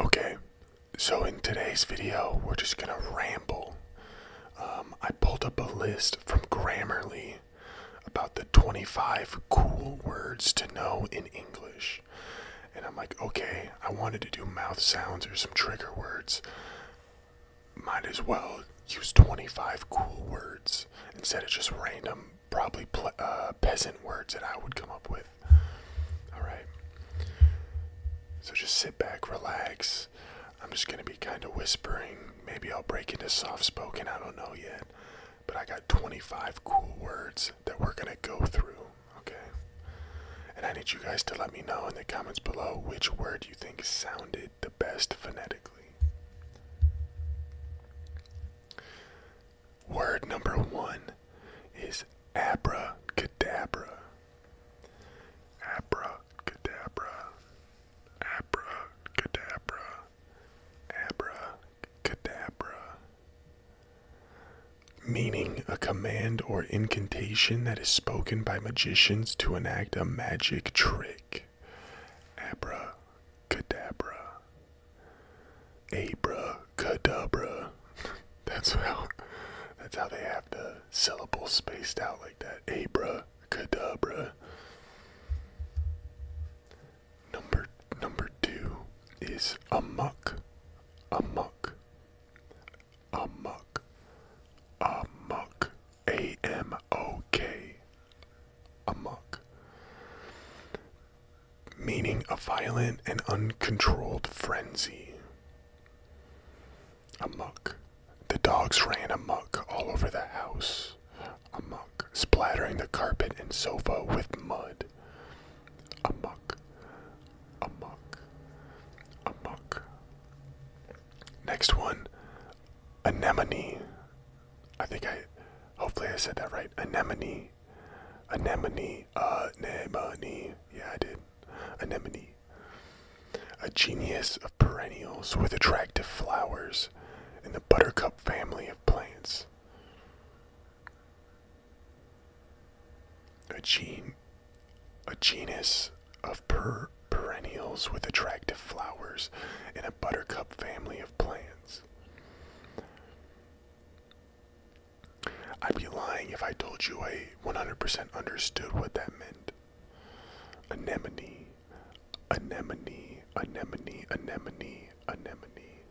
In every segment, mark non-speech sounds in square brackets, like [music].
Okay, so in today's video, we're just gonna ramble. Um, I pulled up a list from Grammarly about the 25 cool words to know in English. And I'm like, okay, I wanted to do mouth sounds or some trigger words might as well use 25 cool words instead of just random, probably uh, peasant words that I would come up with. Alright. So just sit back, relax. I'm just going to be kind of whispering. Maybe I'll break into soft spoken. I don't know yet. But I got 25 cool words that we're going to go through. Okay. And I need you guys to let me know in the comments below which word you think sounded the best phonetically. Word number one is abracadabra. Abracadabra. Abracadabra. Abracadabra. Meaning a command or incantation that that is spoken by magicians to enact a magic trick. Abra cadabra. Abra cadabra. [laughs] that's how that's how they have the syllables spaced out like that. Abra cadabra. Number number two is a a muck, muck, a muck, a muck. A-M-O-K. Amok. Meaning a violent and uncontrolled frenzy. Amok. The dogs ran amok all over the house. Amok. Splattering the carpet and sofa with mud. Amok. Amok. Amok. Next one, anemone. I think I, hopefully I said that right. Anemone, anemone, anemone. Yeah, I did. Anemone. A genus of perennials with attractive flowers in the buttercup family of plants. A gene a genus of per perennials with attractive flowers and a buttercup family of plants. I'd be lying if I told you I 100% understood what that meant. Anemone, anemone, anemone, anemone, anemone,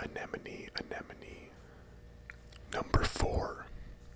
anemone, anemone. Number four,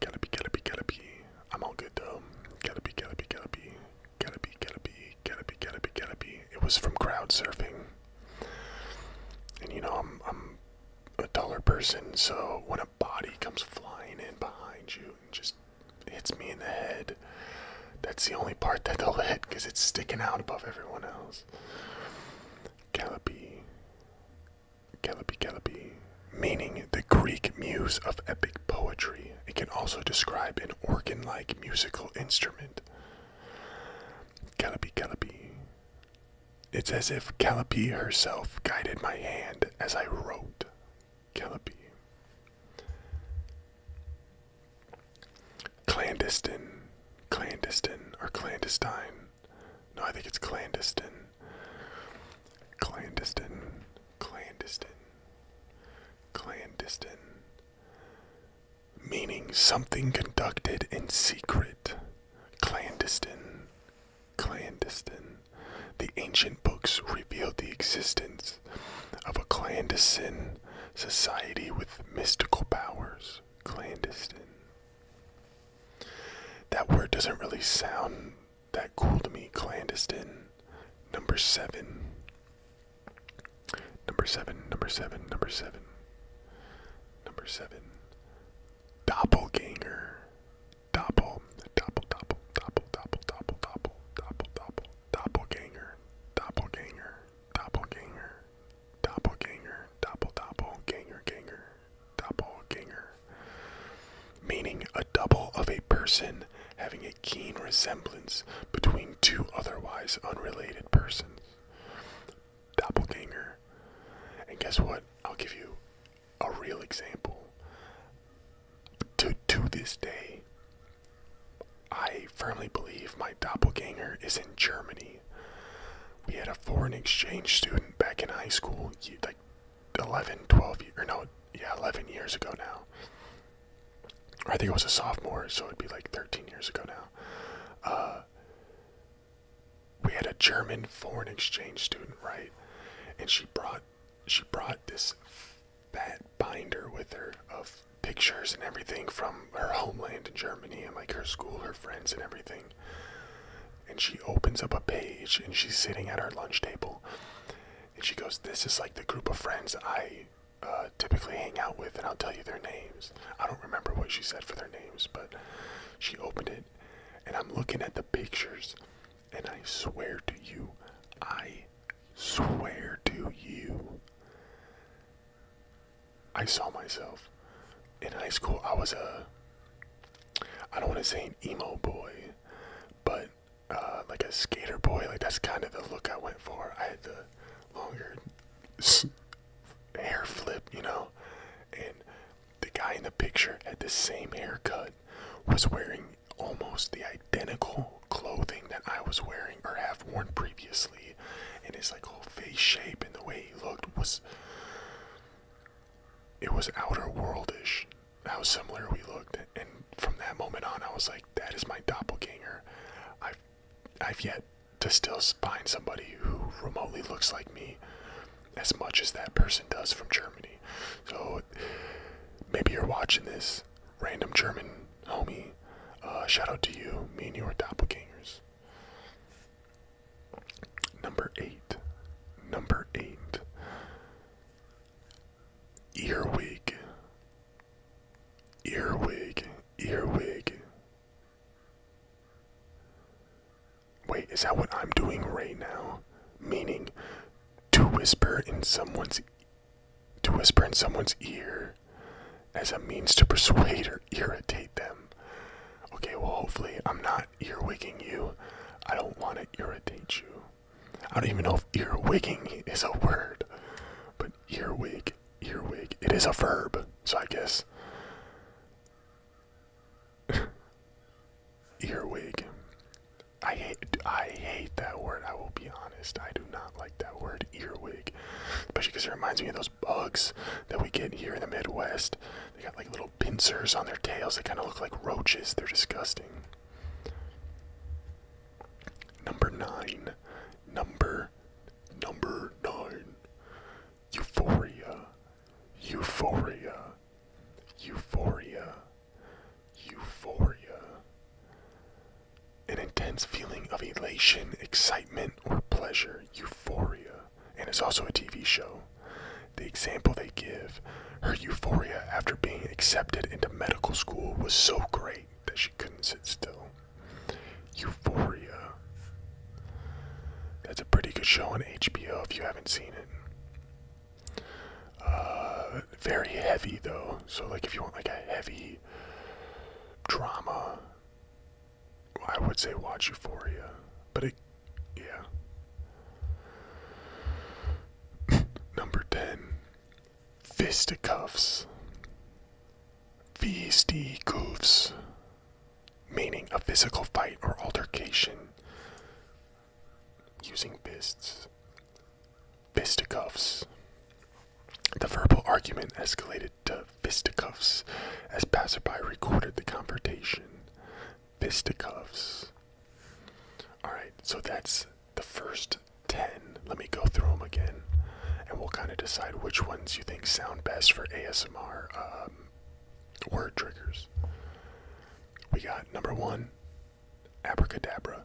Caterpie, Caterpie, Caterpie. I'm all good though. Caterpie, Caterpie, Caterpie. Caterpie, Caterpie, Caterpie, Caterpie, Caterpie. It was from crowd surfing. And you know, I'm, I'm a taller person, so when a body comes flying in behind you and just hits me in the head, that's the only part that they'll hit because it's sticking out above everyone else. Caterpie, Calliope Calliope, meaning the Greek muse of epic poetry. It can also describe an organ like musical instrument. Calliope Calliope. It's as if Calliope herself guided my hand as I wrote. Calliope. Clandestine, clandestine, or clandestine. No, I think it's clandestine. Clandestine. Clandestine. Clandestine. Meaning something conducted in secret. Clandestine. Clandestine. The ancient books revealed the existence of a clandestine society with mystical powers. Clandestine. That word doesn't really sound that cooled me clandestine number seven number seven number seven number seven number seven doppelganger doppel doppel doppel doppel doppel doppel doppel doppel doppel doppelganger doppelganger doppelganger doppelganger doppel doppel ganger ganger doppelganger, meaning a double of a person having a keen resemblance between two otherwise unrelated persons. Doppelganger. And guess what? I'll give you a real example. To, to this day, I firmly believe my doppelganger is in Germany. We had a foreign exchange student back in high school, like 11, 12, or no, yeah, 11 years ago now. I think it was a sophomore, so it'd be like 13 years ago now. Uh, we had a German foreign exchange student, right? And she brought she brought this fat binder with her of pictures and everything from her homeland in Germany and like her school, her friends and everything and she opens up a page and she's sitting at our lunch table and she goes this is like the group of friends i uh, typically hang out with and i'll tell you their names i don't remember what she said for their names but she opened it and i'm looking at the pictures and i swear to you i swear to you i saw myself in high school i was a I don't want to say emo boy, but uh, like a skater boy. Like that's kind of the look I went for. I had the longer hair flip, you know, and the guy in the picture had the same haircut, was wearing almost the identical clothing that I was wearing or have worn previously, and his like whole face shape and the way he looked was it was outer worldish how similar we looked and from that moment on i was like that is my doppelganger i've i've yet to still find somebody who remotely looks like me as much as that person does from germany so maybe you're watching this random german homie uh, shout out to you me and you are doppelgangers Number eight. Number eight. Earwig. Earwig. Earwig. Wait, is that what I'm doing right now? Meaning to whisper in someone's to whisper in someone's ear as a means to persuade or irritate them. Okay, well, hopefully, I'm not earwigging you. I don't want to irritate you. I don't even know if earwigging is a word, but earwig, earwig, it is a verb, so I guess. [laughs] earwig. I hate, I hate that word. I will be honest. I do not like that word, earwig, especially because it reminds me of those bugs that we get here in the Midwest. They got like little pincers on their tails. They kind of look like roaches. They're disgusting. Number nine. Number number nine. Euphoria. Euphoria. Euphoria. Euphoria. An intense feeling of elation, excitement, or pleasure. Euphoria and it's also a TV show. The example they give her euphoria after being accepted into medical school was so great that she couldn't sit still. Euphoria. That's a pretty good show on HBO if you haven't seen it. Uh, very heavy though, so like if you want like a heavy drama, I would say watch Euphoria. But it yeah. Number 10. Fisticuffs. Fisticuffs. Meaning a physical fight or altercation using fists. Fisticuffs. The verbal argument escalated to fisticuffs as passerby recorded the confrontation fisticuffs. Alright, so that's the first 10. Let me go through them again and we'll kind of decide which ones you think sound best for ASMR um, word triggers. We got number one, abracadabra.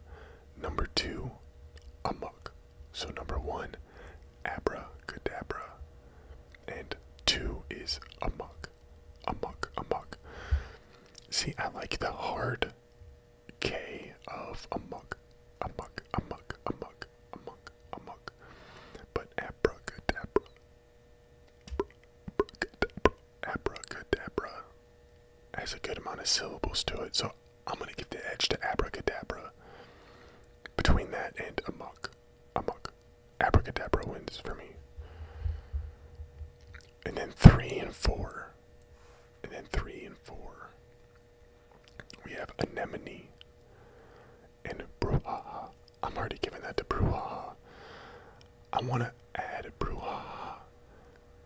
Number two, amok. So number one, abracadabra. And two is amok amok, amok. See, I like the hard K of amok, amok, amok, amok, amok, amok. But abracadabra, abracadabra, abracadabra has a good amount of syllables to it, so I'm gonna give the edge to abracadabra. Between that and amok muck, Abracadabra wins for me. And then three and four. And then three and four. We have anemone and brouhaha. I'm already giving that to brouhaha. I want to add brouhaha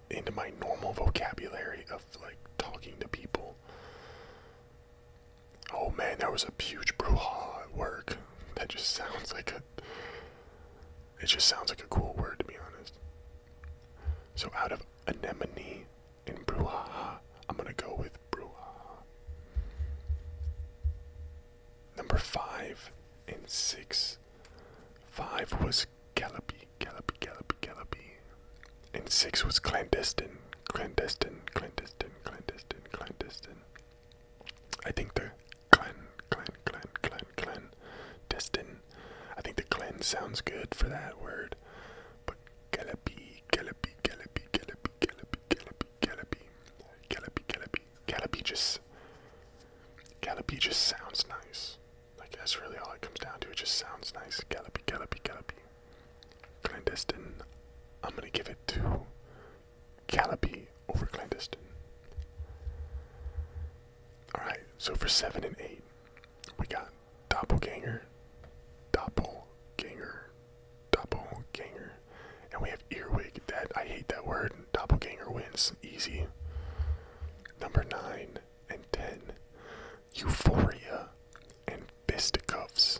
into my normal vocabulary of like talking to people. Oh man, there was a huge brouhaha at work that just sounds like a. It just sounds like a cool word, to be honest. So out of anemone and brouhaha, I'm gonna go with brouhaha. Number five and six. Five was Calliope, Calliope, Calliope, Calliope, and six was clandestine, clandestine, clandestine, clandestine, clandestine. I think the Glen, Glen, Glen, Glen, Glen, Destin. I think the Glen sounds good for that word. But Galapi, Galapi, Galapi, Galapi, Galapi, Galapi, Galapi, Galapi, Galapi, Galapi just, Galapi just sounds nice. Like that's really all it comes down to. It just sounds nice. Galapi, Galapi, Galapi. Clandestine. I'm gonna give it two, Calliope over Clandestine. Alright, so for 7 and 8, we got Doppelganger, Doppelganger, Doppelganger, and we have Earwig. That I hate that word. Doppelganger wins. Easy. Number 9 and 10, Euphoria and Fisticuffs.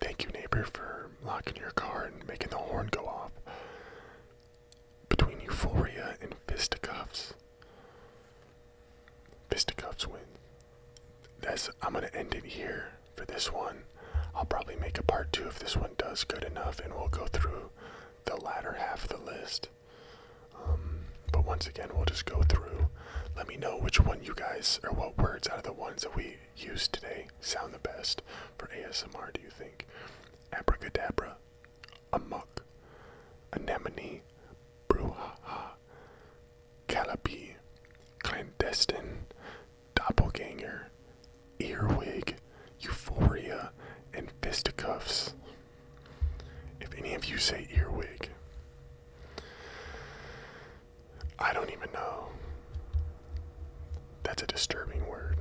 Thank you, neighbor, for locking your car and making the horn go off. Between euphoria and fisticuffs. Fisticuffs wins. That's, I'm going to end it here for this one. I'll probably make a part two if this one does good enough, and we'll go through the latter half of the list. Um, but once again, we'll just go through. Let me know which one you guys, or what words out of the ones that we Used today sound the best for ASMR, do you think? Abracadabra, Amok, Anemone, Brouhaha, Callipee, Clandestine, Doppelganger, Earwig, Euphoria, and Fisticuffs. If any of you say earwig, I don't even know. That's a disturbing word.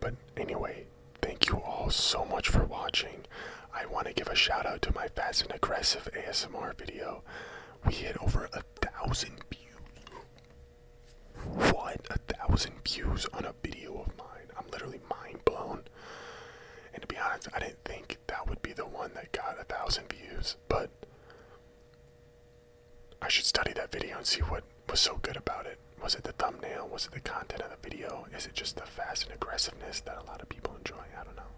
But anyway, thank you all so much for watching. I want to give a shout out to my fast and aggressive ASMR video. We hit over a thousand views. What? A thousand views on a video of mine. I'm literally mind blown. And to be honest, I didn't think that would be the one that got a thousand views, but I should study that video and see what was so good about it. Was it the thumbnail? Was it the content of the video? Is it just the fast and aggressiveness that a lot of people enjoy? I don't know.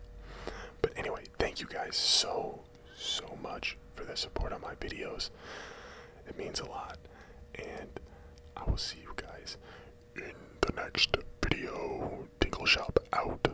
But anyway, thank you guys so, so much for the support on my videos. It means a lot. And I will see you guys in the next video. Tinkle Shop out.